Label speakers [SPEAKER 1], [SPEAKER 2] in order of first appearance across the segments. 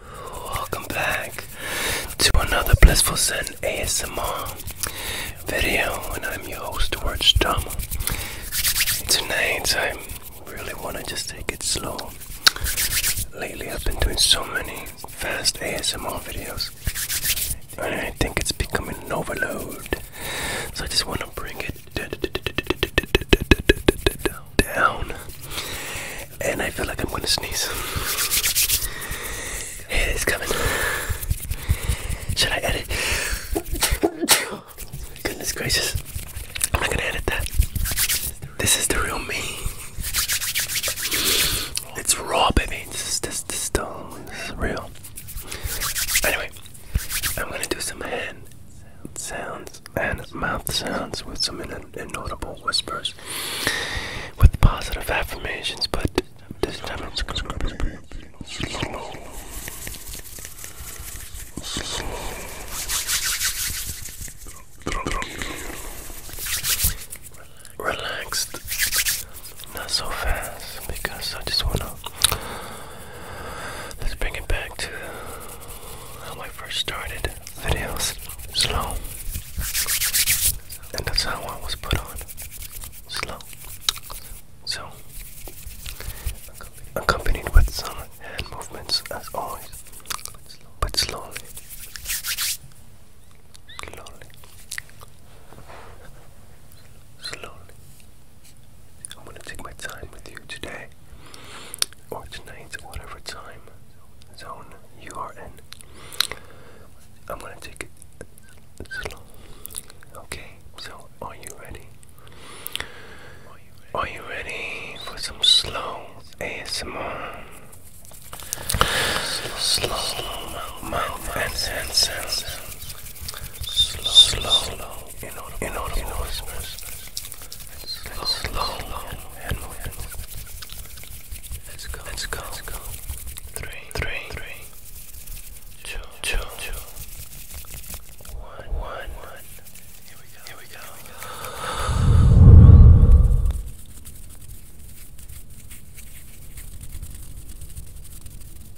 [SPEAKER 1] Welcome back to another Blissful Sun ASMR video, and I'm your host, George Strom. Tonight, I really want to just take it slow. Lately, I've been doing so many fast ASMR videos, and I think it's becoming an overload. So I just want to bring it down. And I feel like I'm gonna sneeze. It is coming. Should I edit? Goodness gracious. I'm not gonna edit that. This is the real me. It's raw, baby. This is this, this, this, this is real. Anyway, I'm gonna do some hand sounds and mouth sounds with some inaudible whispers with positive affirmations, but this time it's gonna be slow. Slow. Relaxed. Not so fast because I just wanna Let's bring it back to how I first started videos slow. And that's how I was put on slow. So, accompanied with some hand movements as always, but slowly. Slowly slowly. I'm gonna take my time with you today, or tonight, or whatever time zone you are in. I'm gonna take it slow. Okay, so are you ready? Are you ready for some slow ASMR? Slow, slow, slow, mouth and Slow, slow inaudible, inaudible whispers, slow, slow, and wet. Let's go, let's go, let's go. Three, three, three, two, two, two, one, one, one. Here we go, here we go. Here we go.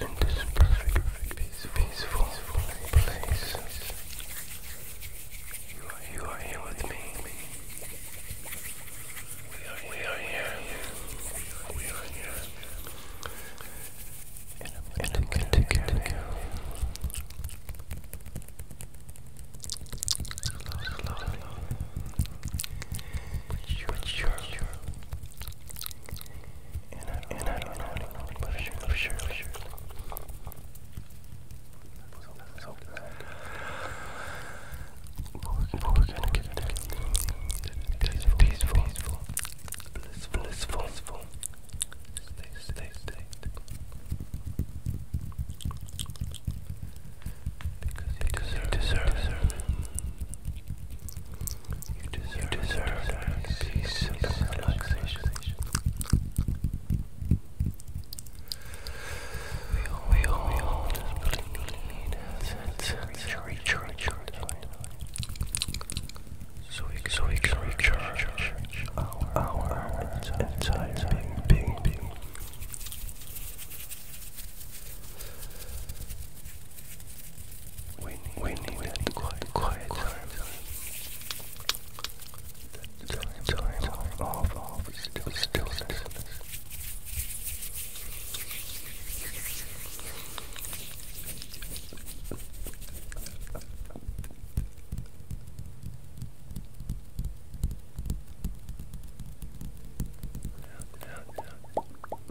[SPEAKER 1] in this, perfect, peaceful, peaceful, place. You are, here with me. We are, here. We are here. And I'm going to take care of you. And I don't know anyone, but I'm sure, sure, sure. So we're gonna get it. Peaceful, peaceful, blissful, blissful, blissful. Stay, stay, stay. Because they deserve, deserve, deserve. You deserve, you relaxation. We all, we all, we all just need a sense of recharge. So we can, recharge our, entire being. We need, we need, we need quiet, quiet, quiet time. The time, the time, time of, of, of still, still, stillness. Now, now, now.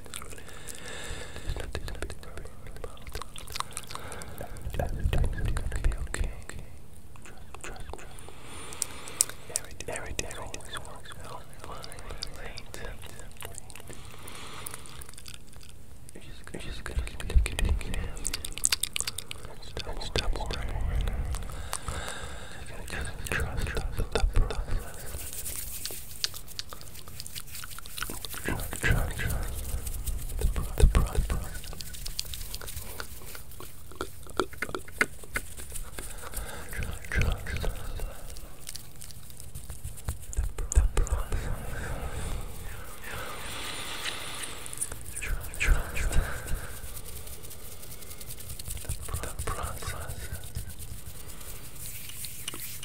[SPEAKER 1] Everything's Everything, always works out you just gonna, just gonna keep, keep, keep, keep, keep. Stop, stop worrying. trust, trust, Track, track, track. The pride, the pride, the pride. Track, track, track. The pride, the pride. Track, track, track. The pride, the pride. The pride, the pride. It's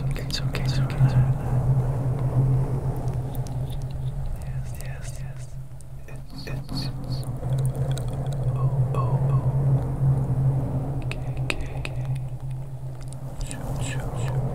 [SPEAKER 1] okay, it's okay, it's okay. Yes, yes, yes. It's, it's, it's. Oh, oh, oh. Okay, okay, okay. Shoot, shoot, shoot. Relax.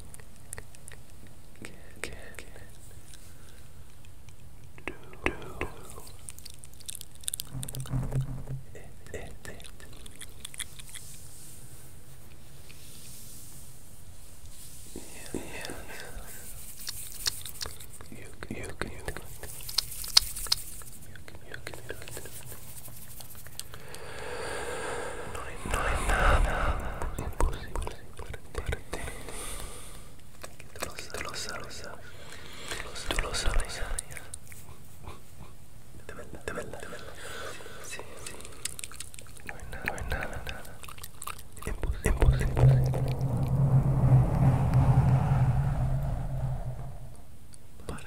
[SPEAKER 1] can can, you can, you can, you can, you you can, you can, you can, you can, you can, you No hay, no hay nada imposible para ti. Tú lo sabes, tú lo sabes. De de de No, Sí, sí. No hay nada, no nada, Imposible. imposible. Para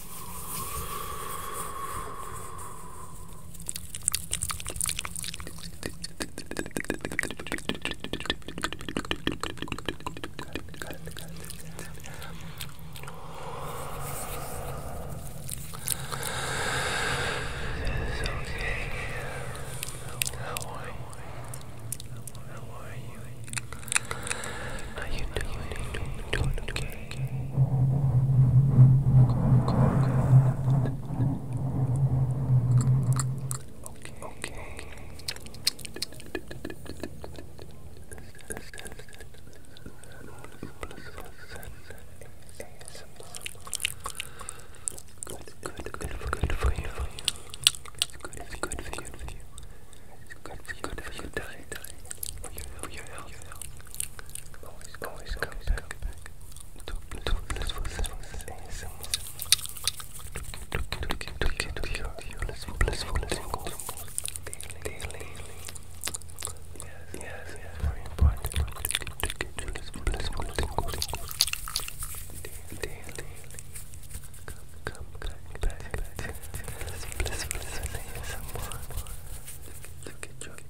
[SPEAKER 1] How are you? How are you? How are you doing? Doing okay? okay. Okay, okay, okay. Good, good, good, good for you. It's good, it's good for you. It's good for you. It's good for you for your help, for your help. Always, always come back. To blissful senses ASMR. To cure your blissful tingles daily. Yes, yes, very important. To cure your blissful tingles daily. Come, come back. Blissful senses ASMR. To cure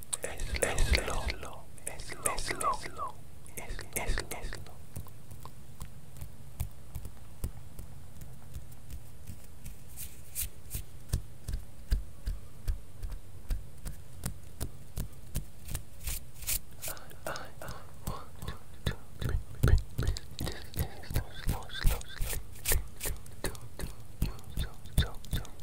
[SPEAKER 1] Eslo, eslo, eslo, eslo, eslo. I, slow, slow, slow, do, do, do, you,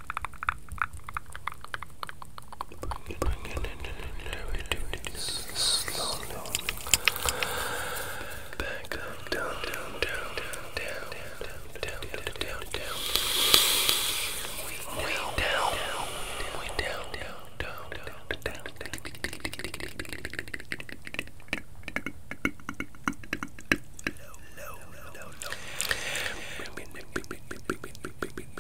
[SPEAKER 1] Bring, bring in, and we do this slowly. Back up, down, down, down, down, down, down, down, down, down. Way down, way down, down, down, down, down. Low, low, low, low, low. Bring, bring, bring, bring, bring, bring, bring, bring, bring.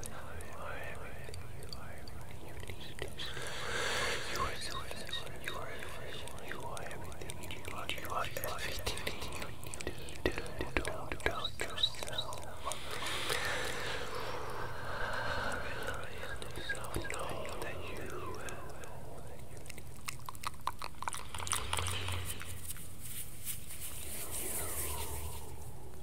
[SPEAKER 1] are everything you are everything you need to do. You are so you are everything you are everything you need. You are everything you need to do. Don't doubt yourself. Rely on yourself. Know that you will. You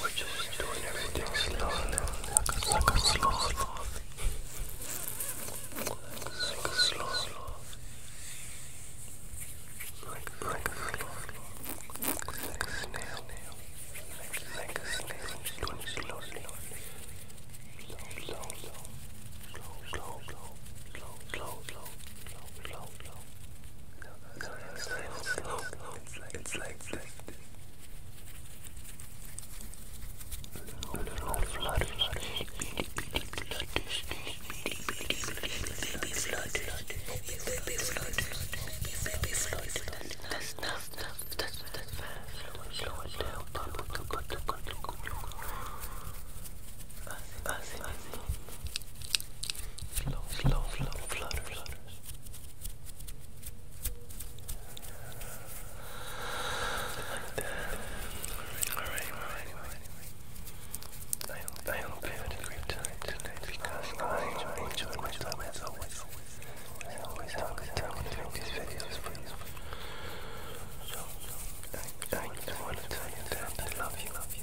[SPEAKER 1] We're just doing everything slowly, like a slow sloth. Like a slow sloth. Like a like a sloth. Like a snail. Like a snail. Doing it slowly. Slow, slow, slow. Slow, slow, slow. Slow, slow, slow. Slow, slow, slow. Now no, it's like it's like it's like Baby Flow, flow, flow, flutters. Like Alright, alright, alright, I hope, I hope you a great time tonight because I enjoy, enjoyed my as always. I always have a good time I, I, want to tell you that I love you, love you.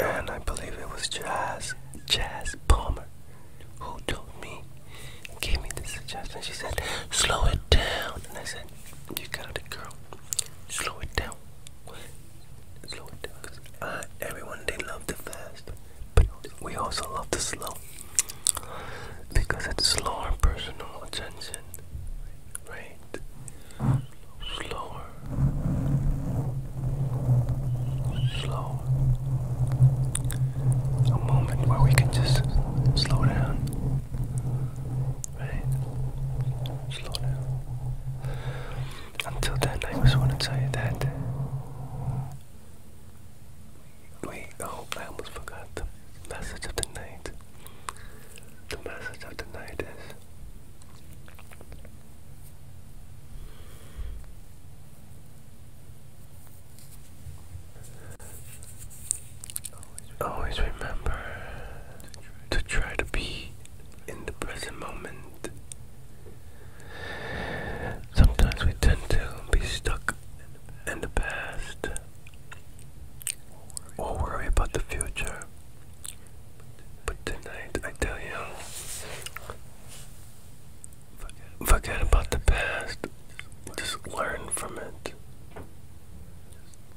[SPEAKER 1] And I believe it was Jazz, Jazz Palmer, who told me, gave me the suggestion. She said, slow it down. And I said, you got it, girl. Slow it down. Slow it down. Cause everyone, they love the fast. But we also love the slow. Because it's slower personal attention rate, slower, slower. A moment where we can just slow down, right? Slow down. Until then, I just want to tell you that. Wait, oh, I almost forgot the message of the night. The message of the night is Always remember to try to be in the present moment. Sometimes we tend to be stuck in the past or worry about the future. But tonight, I tell you, forget about the past. Just learn from it.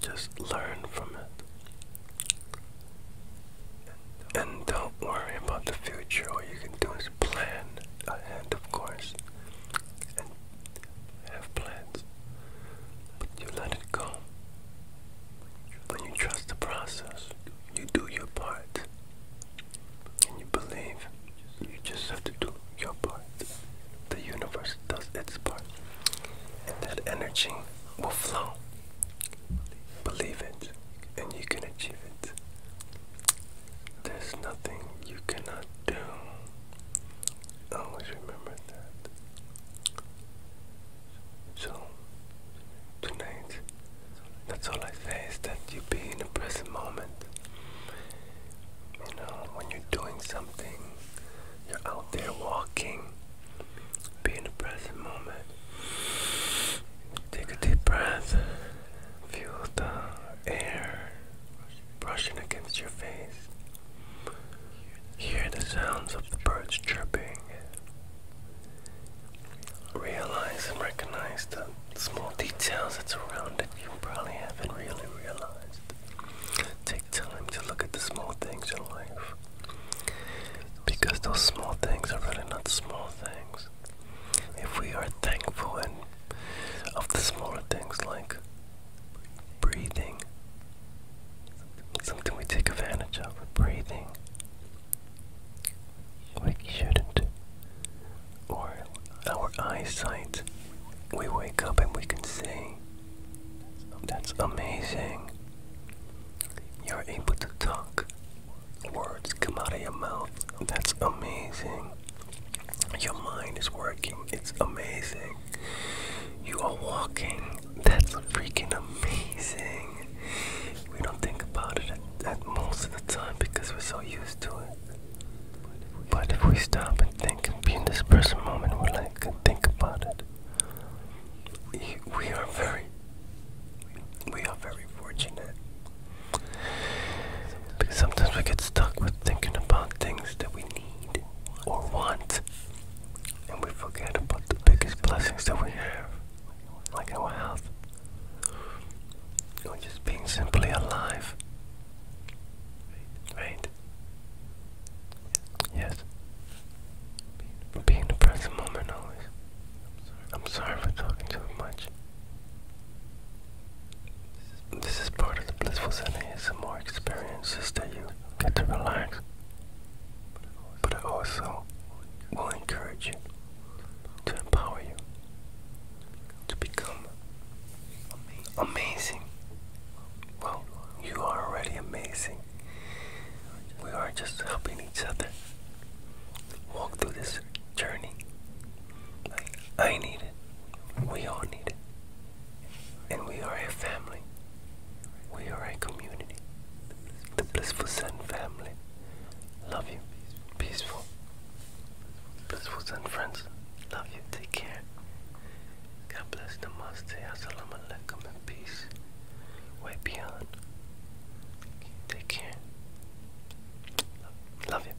[SPEAKER 1] Just learn from it. And don't worry about the future. All you can do is plan and of course, have plans, but you let it go. When you trust the process, you do your part, and you believe you just have to do your part. The universe does its part, and that energy will flow. Believe it, and you can achieve it. There's nothing you cannot do. Always remember that. So, tonight, that's all I say is that you be in the present moment. You know, when you're doing something, you're out there walking, be in the present moment. Take a deep breath, feel the air brushing against your face. Hear the sounds of the birds chirping. Realize and recognize the small details that surround it you probably haven't really realized. Take time to look at the small things in life. Because those small things are really not small things. If we are thankful and of the smaller things like breathing something we take advantage of breathing we shouldn't or our eyesight we wake up and we can see that's amazing you're able to talk words come out of your mouth that's amazing your mind is working it's amazing you are walking. That's freaking amazing. We don't think about it at, most of the time because we're so used to it. But if we stop and think and be in this present moment, we're like, think about it. We are very, we are very fortunate. Because sometimes we get stuck with thinking about things that we need or want and we forget about the biggest blessings that we have, like our health, or just being simply alive. Right? Yes. Being the present moment always. I'm sorry for talking too much. This is part of the blissful setting. It's some more experiences that you get to relax, but I also will encourage you to empower you to become amazing. Well, you are already amazing. We are just helping each other walk through this journey. I need it. We all need it. And we are a family. We are a community. The Blissful Sun family. Love you. Peaceful. Blissful Sun friends. Love you. Take care. God bless. Namaste. Assalamu alaikum. And peace. Way beyond. Take care. Love you.